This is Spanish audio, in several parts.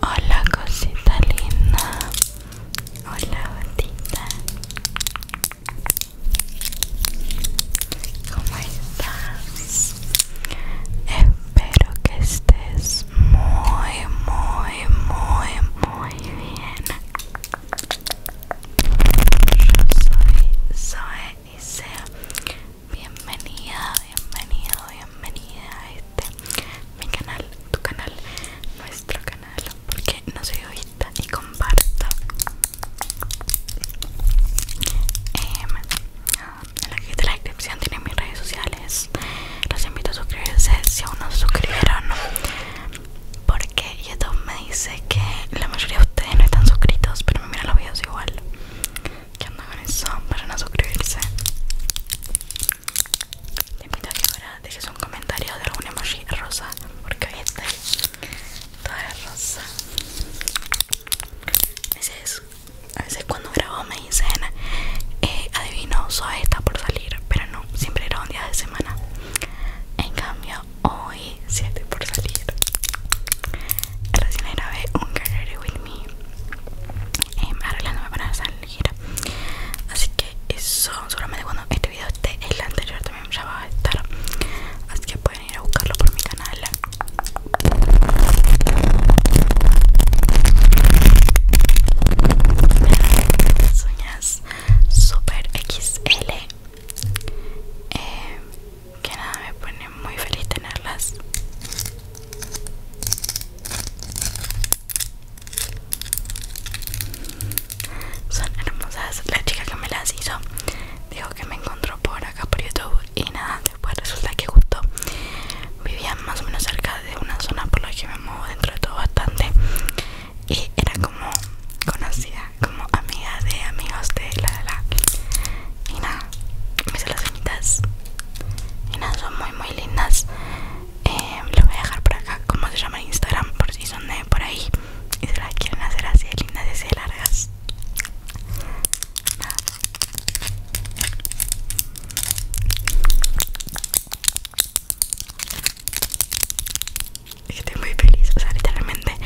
Hola cosita linda. Hola gotita. ¿Cómo estás? Espero que estés muy, muy, muy, muy bien. Yo soy Zoe y sea Bienvenida, bienvenido, bienvenida a este mi canal, tu canal, nuestro canal, porque no soy vista y comparto em, en la la descripción tienen mis redes sociales. Los invito a suscribirse si aún no se suscribieron, porque YouTube me dice que la mayoría de ustedes no están suscritos, pero me miran los videos igual que andan con eso? para no suscribirse. Te invito a que ahora dejes un comentario de algún emoji rosa, porque hoy es toda rosa. A veces, cuando grabo me dicen, eh, adivino, soy esta por salir, pero no, siempre era un día de semana. En cambio, hoy siete por salir. Recién grabé un gallery no me van para salir así que eso solamente cuando este video esté el anterior también ya va a estar así que pueden ir a buscarlo por mi canal uñas super xl em, que nada me pone muy feliz tenerlas son hermosas la chica que me las hizo dijo que me encontró por acá por youtube y nada después resulta que justo vivía más o menos cerca de una zona por la que me muevo dentro de todo bastante y era como conocida como amiga de amigos de la de la. y nada me hice las uñitas y nada, son muy muy lindas. Em, lo voy a dejar por acá, como se llama en Instagram, por si son de por ahí y se las quieren hacer así de lindas y así de largas. Estoy muy feliz, o sea, literalmente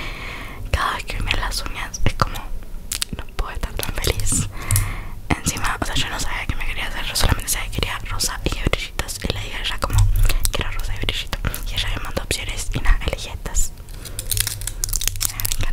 cada vez que me las uñas es como puedo estar tan feliz Encima, o sea, yo no sabía que me quería hacer Solamente sabía que quería rosa y brillitos Y le dije a ella como, quiero rosa y brillitos Y ella me mandó opciones y nada, elegí estas ah,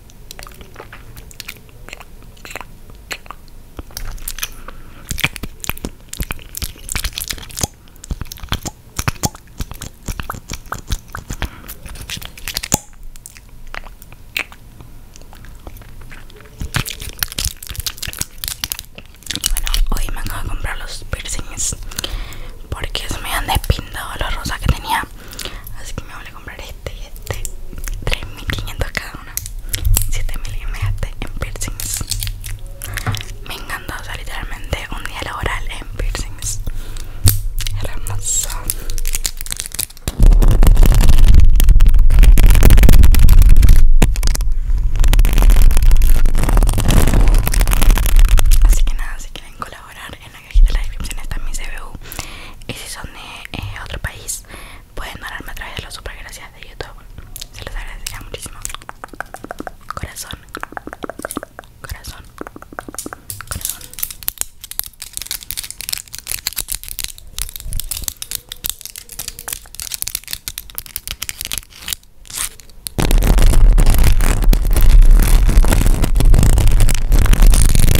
Bueno, hoy me acabo de comprar los piercings porque se me han despintado la rosa que tenía. Así que me voy a comprar este y este 3500 cada uno, 7000 y en piercings me encantó usar literalmente un día laboral en piercings hermoso así que nada si quieren colaborar en la de la descripción está mi CBU y si son de eh, otro país pueden donarme a través de los super gracias de YouTube se los agradecería muchísimo corazón corazón corazón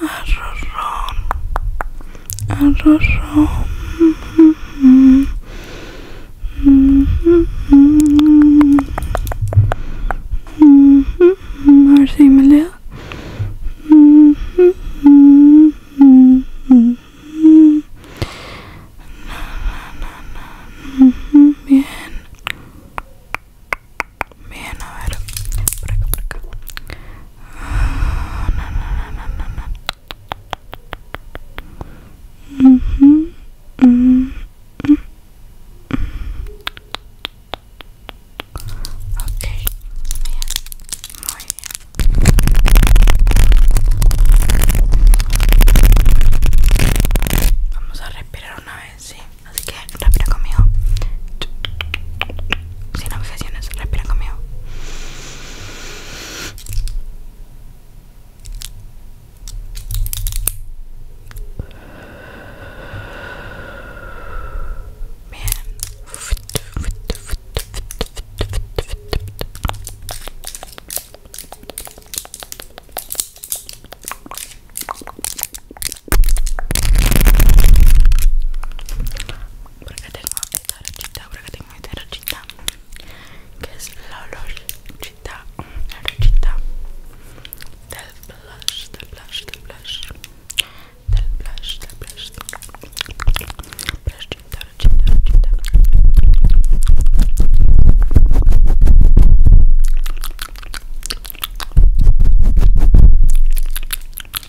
arrozón, arrozón. A ver si me leo. Bien. Bien, a ver. Por acá, por acá. Mm Vamos a respirar una vez, sí. Así que respira conmigo sin objeciones. Respira conmigo. Bien porque tengo esta rochita, porque tengo esta rochita que es la rochita, la del blush, del blush, del blush del blush, del blush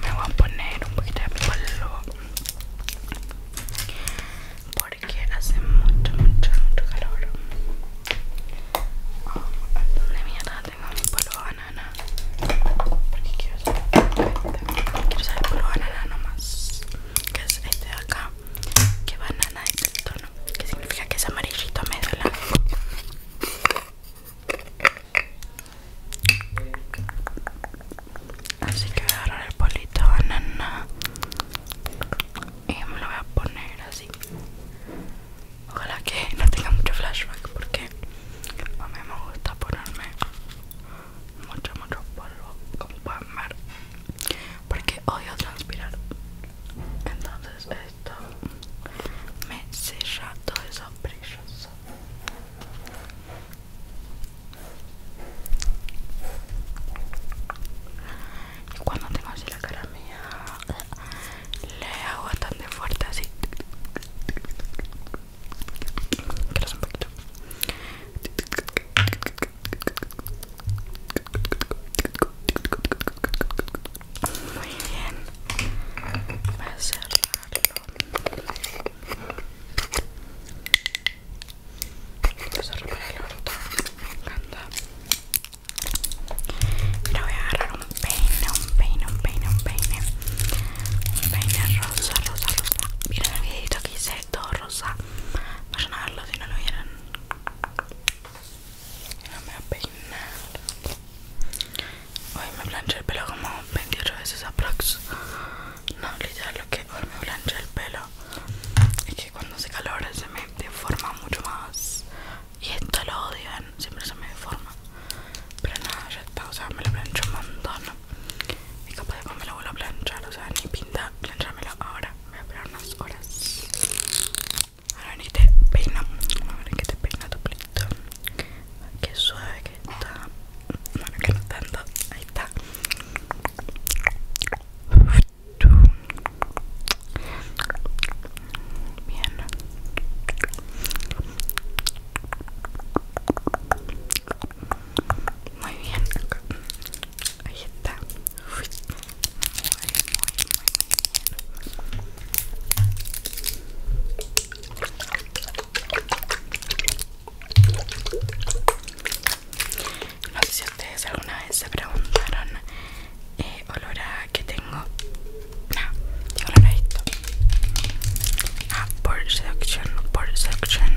me voy a poner un poquito de polvo porque hace mucho mucho mucho calor oh, de mierda tengo mi polvo banana porque quiero usar, quiero saber polvo banana nomás que es este de acá que banana es el tono que significa que es amarillito medio Así que voy a agarrar el polito banana y me lo voy a poner así. Ojalá que no tenga mucho flashback porque a mí me gusta ponerme mucho, mucho polvo, como pueden porque odio transpirar. Entonces, me sella todos esos brillos y cuando tengo así la cara mía le hago bastante fuerte así que un poquito muy bien. Voy a cerrarlo. Lo cerro para el voy a agarrar un peine, un peine, un peine, un peine. Un peine rosa, rosa, rosa. Miren el videito que hice? Todo rosa. vamos a verlo si no lo vieron voy a peinar. Hoy me planché el pelo como 28 veces a aprox. No, literal lo que hoy me planché el pelo es que cuando se calora se me deforma mucho más. Y esto lo odian, ¿eh? siempre se me deforma. Pero nada, ya está, o sea, me lo plancho un montón. Y capaz de me lo vuelvo a planchar, o sea, ni pinta planchármelo ahora. Voy a esperar unas horas. Ahora ni te peina. Ahora que te peina tu pelito. Qué suave que está. Bueno, que no tanto. Ahí está. Bien. Muy bien. Ahí está. No sé si ustedes alguna vez se preguntaron eh, olor a que tengo. No, tengo olor a Ah, por seducción, por seducción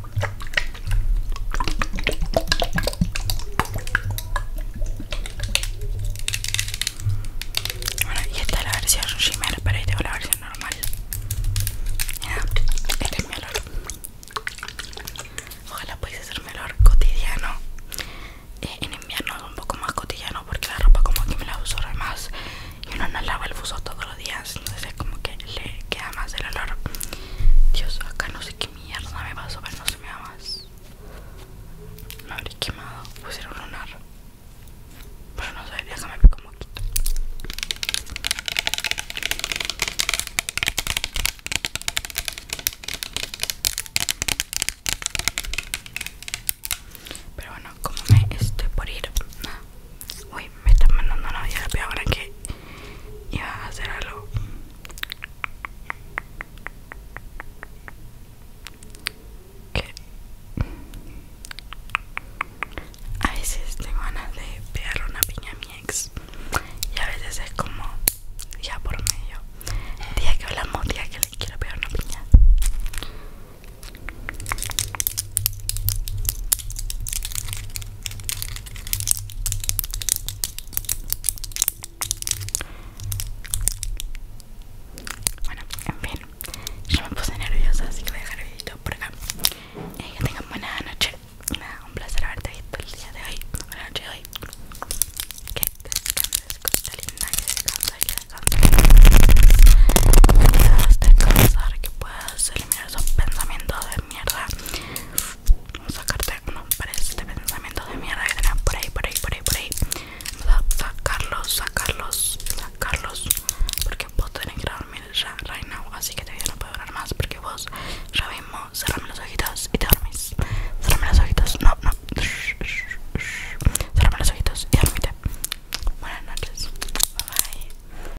bueno, y esta es la versión shimmer, pero ahí tengo la versión normal. Mira, este es mi olor. Ojalá podáis hacerme mi olor cotidiano. Eh, en invierno es un poco más cotidiano porque la ropa como que me la uso más y uno no lava el buzo todos los días, entonces como que le queda más el olor. Dios, acá no sé qué mierda me a pero no se me da más. Me habría quemado, pues era un lunar. Pero no sé, déjame ver cómo Pero bueno, como me estoy por ir, uy, me están mandando una la ahora que iba a hacer algo. Que a veces tengo ganas de pegarle una piña a mi ex y a veces es como ya por medio. Día que hablamos, día que le quiero pegar una piña. Bueno, en fin, yo me puse nerviosa, así que voy a dejar el video por acá. Eh, que tengan buena noche. un placer haberte visto el día de hoy. Buena noche hoy. Que descanses, cosita linda, que descanses, que descanses. Que puedas descansar, que puedas eliminar esos pensamientos mierda Vamos a sacarte uno para este pensamiento de mierda que tenemos por ahí, por ahí, por ahí, por ahí Vamos a sacarlos, sacarlos, sacarlos Porque vos tenés que dormir ya, right now Así que todavía no puedo hablar más porque vos ya mismo cerrame los ojitos y te dormís Cerrame los ojitos, no, no Cerrame los ojitos y dormite Buenas noches, bye